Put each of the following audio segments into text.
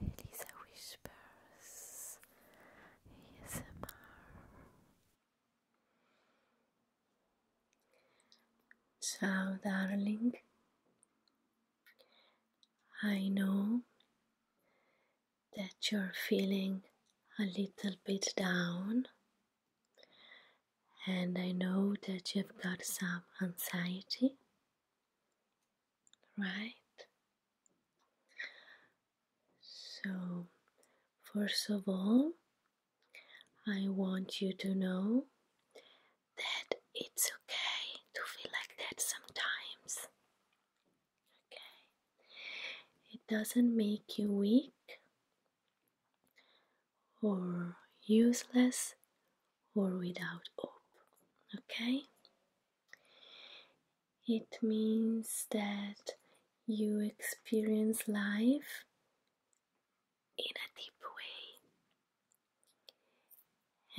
Elisa Whispers ASMR So, darling, I know that you're feeling a little bit down, and I know that you've got some anxiety right? So, first of all, I want you to know that it's okay to feel like that sometimes. Okay? It doesn't make you weak or useless or without hope, Okay? It means that you experience life in a deep way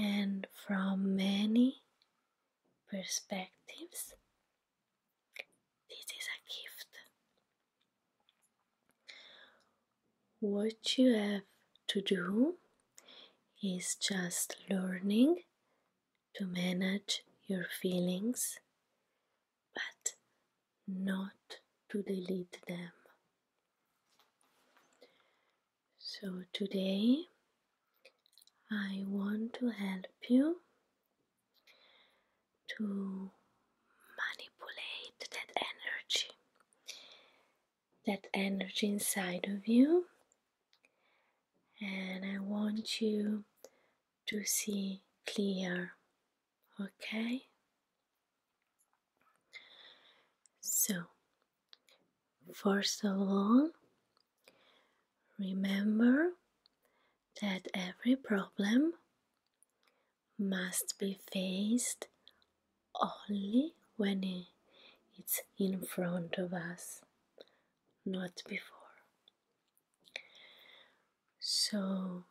and from many perspectives. This is a gift what you have to do is just learning to manage your feelings but not to delete them. So today I want to help you to manipulate that energy that energy inside of you, and I want you to see clear, okay? So, first of all, remember that every problem must be faced only when it's in front of us, not before. So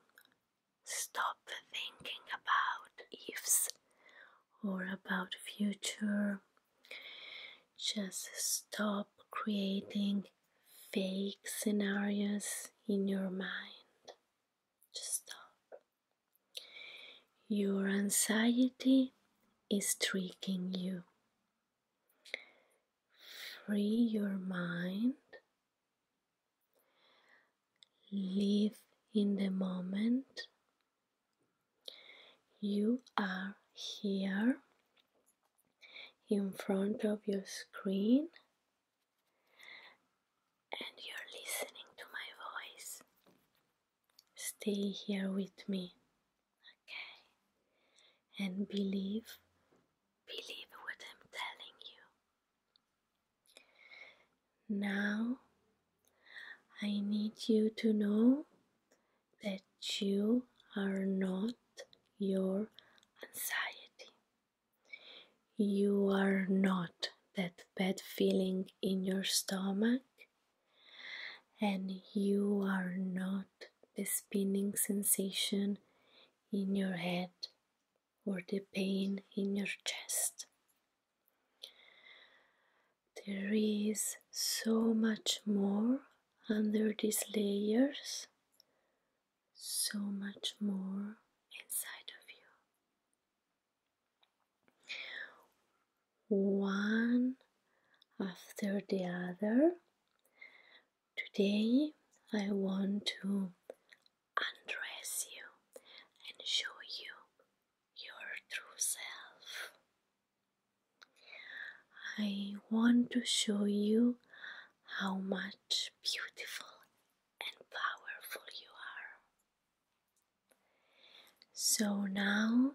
stop thinking about ifs or about future. Just stop creating fake scenarios in your mind. Just stop. Your anxiety is tricking you. Free your mind. Live in the moment. You are here in front of your screen and you're listening to my voice, stay here with me, okay? And believe, believe what I'm telling you. Now, I need you to know that you are not your anxiety. You are not that bad feeling in your stomach, and you are not the spinning sensation in your head or the pain in your chest. There is so much more under these layers, so much more inside of you one after the other. Today I want to undress you and show you your true self. I want to show you how much beautiful and powerful you are. So now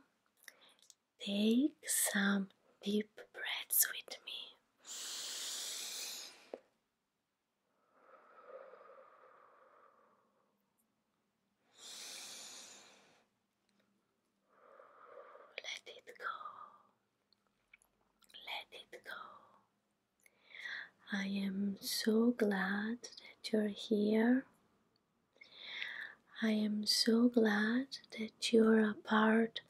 take some deep breaths with me. Let it go. Let it go. I am so glad that you're here. I am so glad that you're a part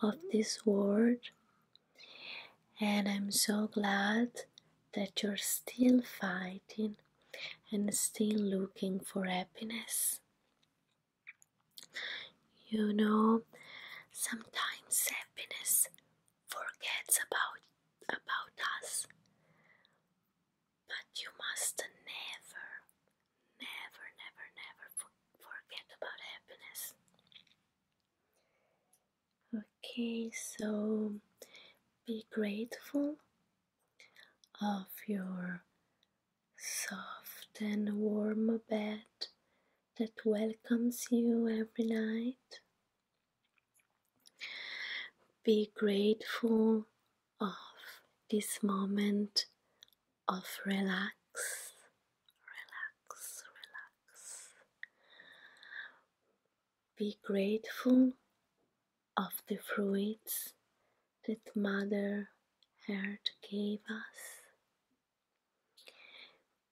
of this world. And I'm so glad that you're still fighting and still looking for happiness. You know, sometimes happiness forgets about about us. But you must never, never, never, never forget about happiness. Okay, so be grateful of your soft and warm bed that welcomes you every night. Be grateful of this moment of relax, relax, relax. Be grateful of the fruits that Mother Earth gave us.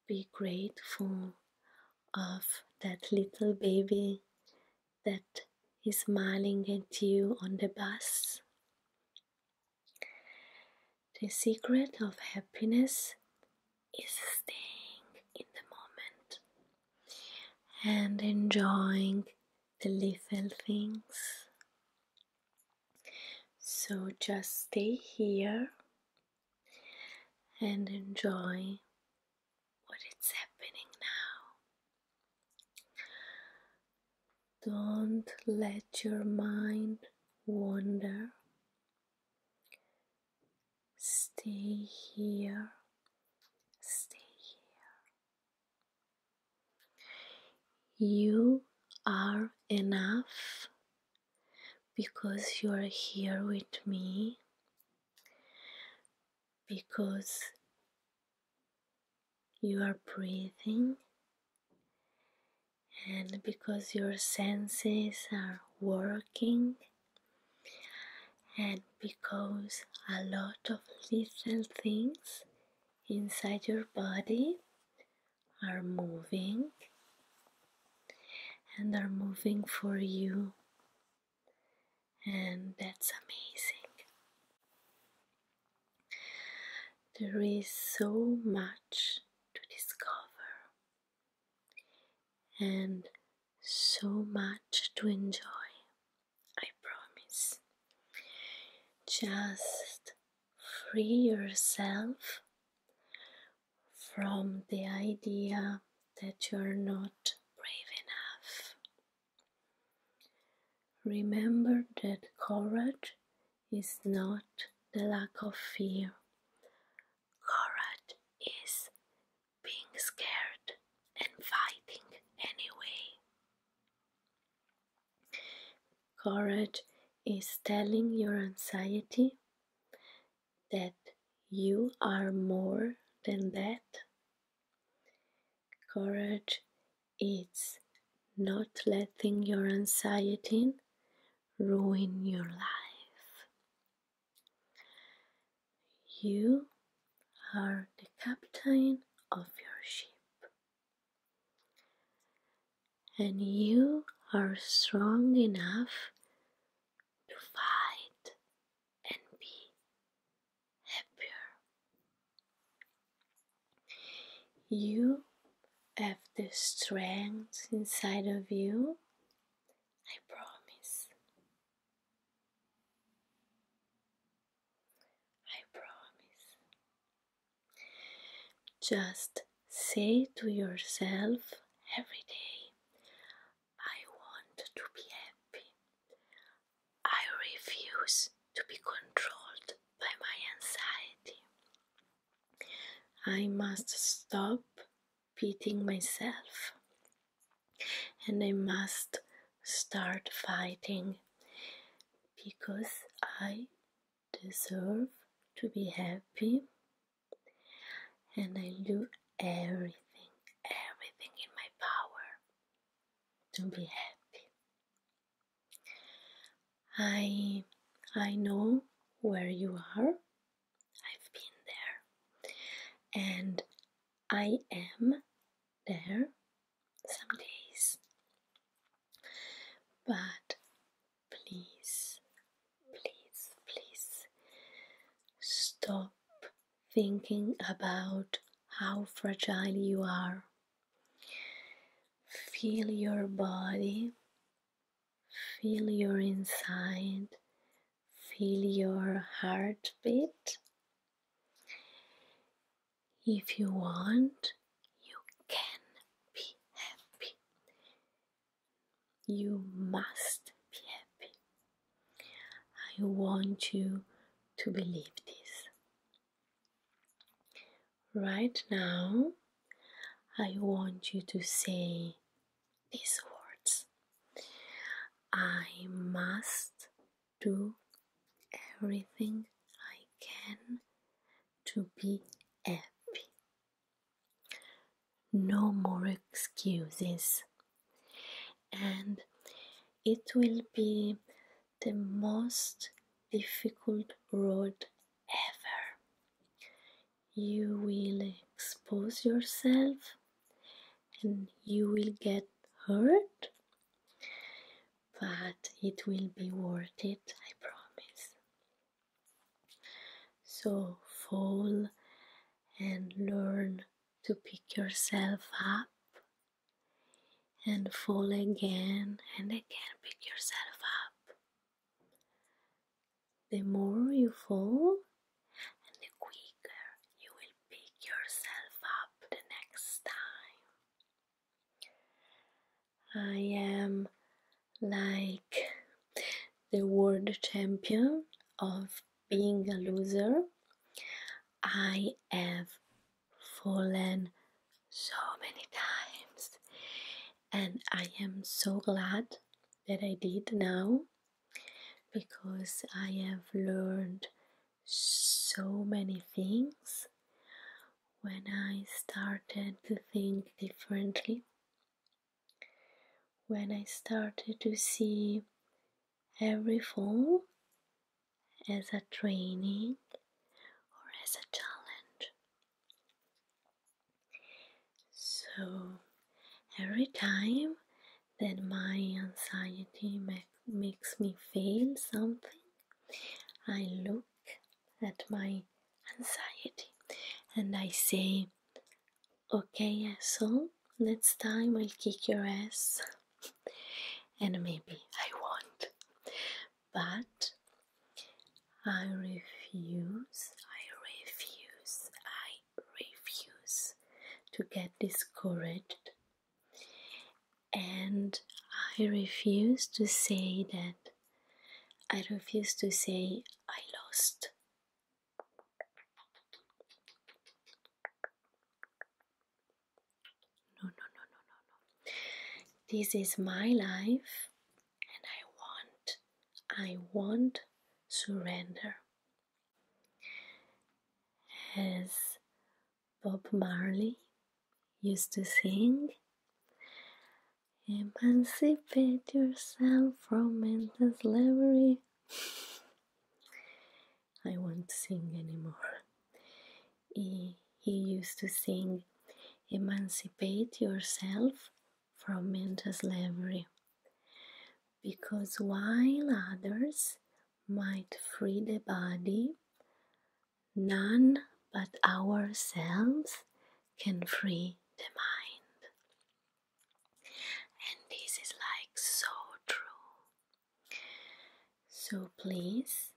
Be grateful of that little baby that is smiling at you on the bus. The secret of happiness is staying in the moment and enjoying the little things. So just stay here and enjoy what is happening now. Don't let your mind wander. Stay here. Stay here. You are enough because you are here with me, because you are breathing, and because your senses are working, and because a lot of little things inside your body are moving and are moving for you, and that's amazing. There is so much to discover and so much to enjoy, I promise. Just free yourself from the idea that you are not brave enough. Remember that courage is not the lack of fear. Courage is being scared and fighting anyway. Courage is telling your anxiety that you are more than that. Courage is not letting your anxiety ruin your life. You are the captain of your ship and you are strong enough to fight and be happier. You have the strength inside of you, I promise. I promise. Just say to yourself every day, I want to be happy. I refuse to be controlled by my anxiety. I must stop beating myself and I must start fighting because I deserve to be happy and I do everything, everything in my power to be happy. I I know where you are. I've been there. And I am there some days. But please, please, please stop thinking about how fragile you are. Feel your body, feel your inside, feel your heartbeat, if you want, you can be happy. You must be happy. I want you to believe this. Right now, I want you to say these words I must do everything I can to be happy. No more excuses. And it will be the most difficult road ever. You will expose yourself and you will get hurt, but it will be worth it, I promise. So fall and learn to pick yourself up and fall again and again pick yourself up. The more you fall, and the quicker you will pick yourself up the next time. I am like the world champion of being a loser. I have fallen so many times, and I am so glad that I did now because I have learned so many things when I started to think differently, when I started to see every fall as a training or as a challenge. So every time that my anxiety makes me feel something, I look at my anxiety and I say, Okay, asshole, next time I'll kick your ass. and maybe I won't. But I refuse, I refuse, I refuse to get discouraged and I refuse to say that. I refuse to say I lost. No, no, no, no, no, no. This is my life, and I want, I want surrender as Bob Marley used to sing. Emancipate yourself from mental slavery. I won't sing anymore. He, he used to sing, Emancipate yourself from mental slavery. Because while others might free the body, none but ourselves can free the mind. And this is like so true. So please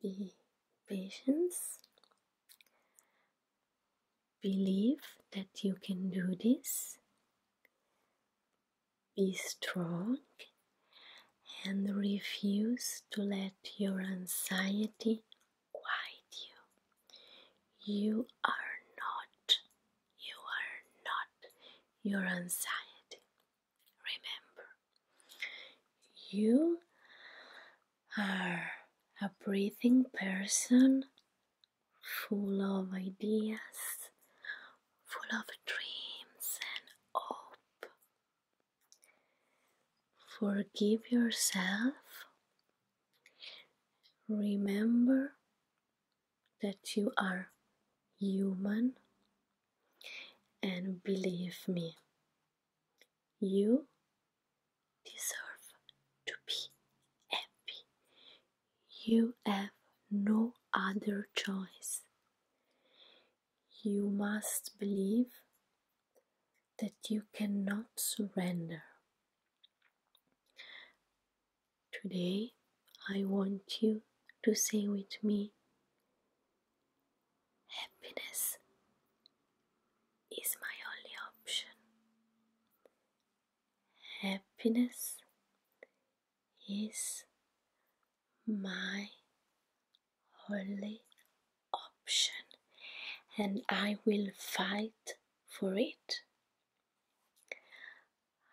be patience. Believe that you can do this. Be strong and refuse to let your anxiety quiet you. You are not, you are not your anxiety. Remember, you are a breathing person full of ideas, full of dreams and hope. Forgive yourself. Remember that you are human and believe me, you deserve to be happy. You have no other choice. You must believe that you cannot surrender. Today, I want you to say with me happiness is my only option. Happiness is my only option and I will fight for it.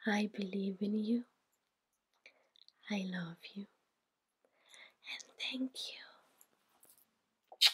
I believe in you. I love you. And thank you.